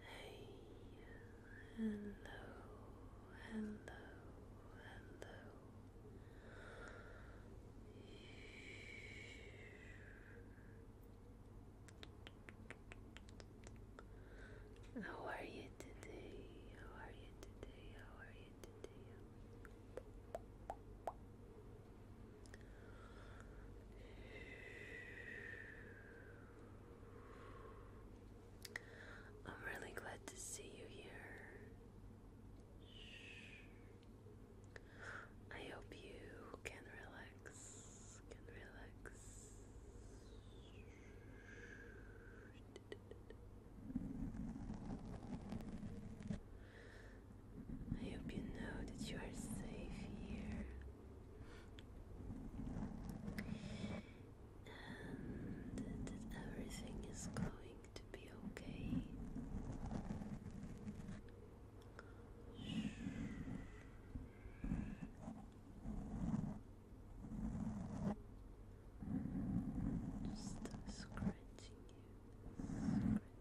Hey, hello, hello, hello. How are you today? How are you today? How are you today? I'm really glad to see you here. I hope you can relax, can relax. I hope you know that you are safe here and everything is going to be okay. Just scratching you,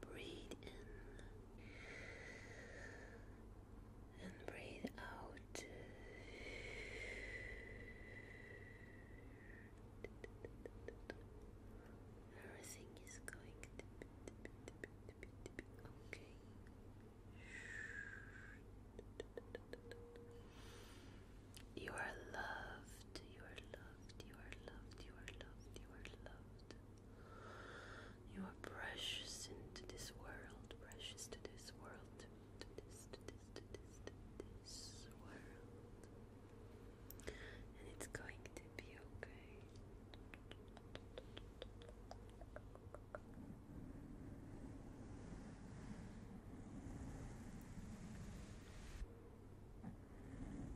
breathe in and breathe out. Everything is going okay. You are loved, you are loved, you are loved, you are loved, you are loved. You are precious into this world, precious to this world, to this, to this, to this, to this world. And it's going to be okay. It's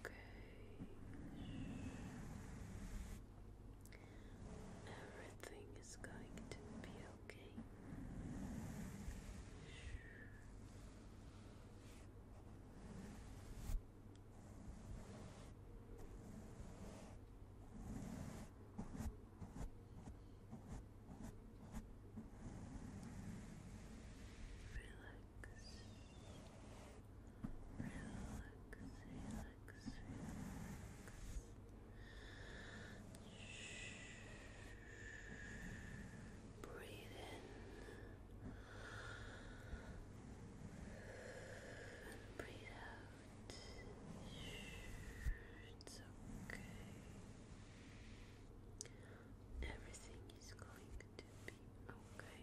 okay. Everything is going to be okay relax. Breathe in and breathe out. It's okay. Everything is going to be okay.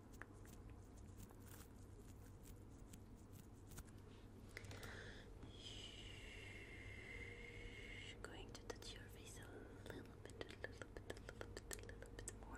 Shh. Going to touch your face a little bit, a little bit, a little bit, a little bit more.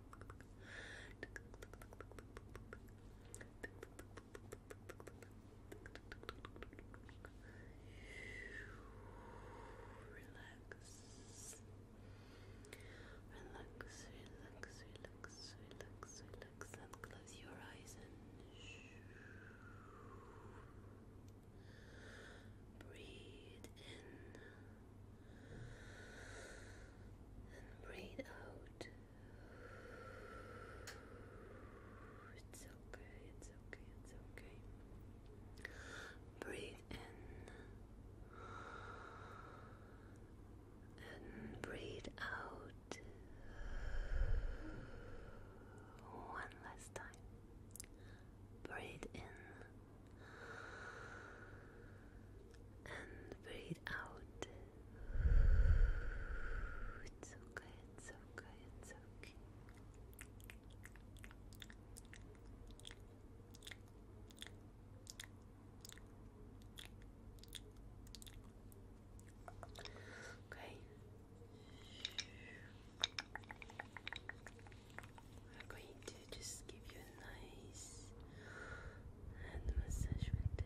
Relax. Relax, relax, relax, relax, relax, and close your eyes and breathe in breathe out. It's okay, it's okay, it's okay. Breathe in and breathe out one last time. Breathe in and breathe out. It's okay, it's okay, it's okay. Okay. we going to just give you a nice hand massage with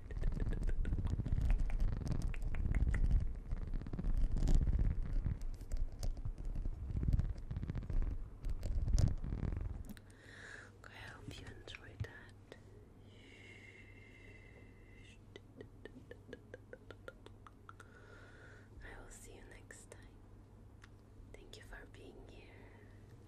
I hope you enjoyed that. I will see you next time. Thank you for being here.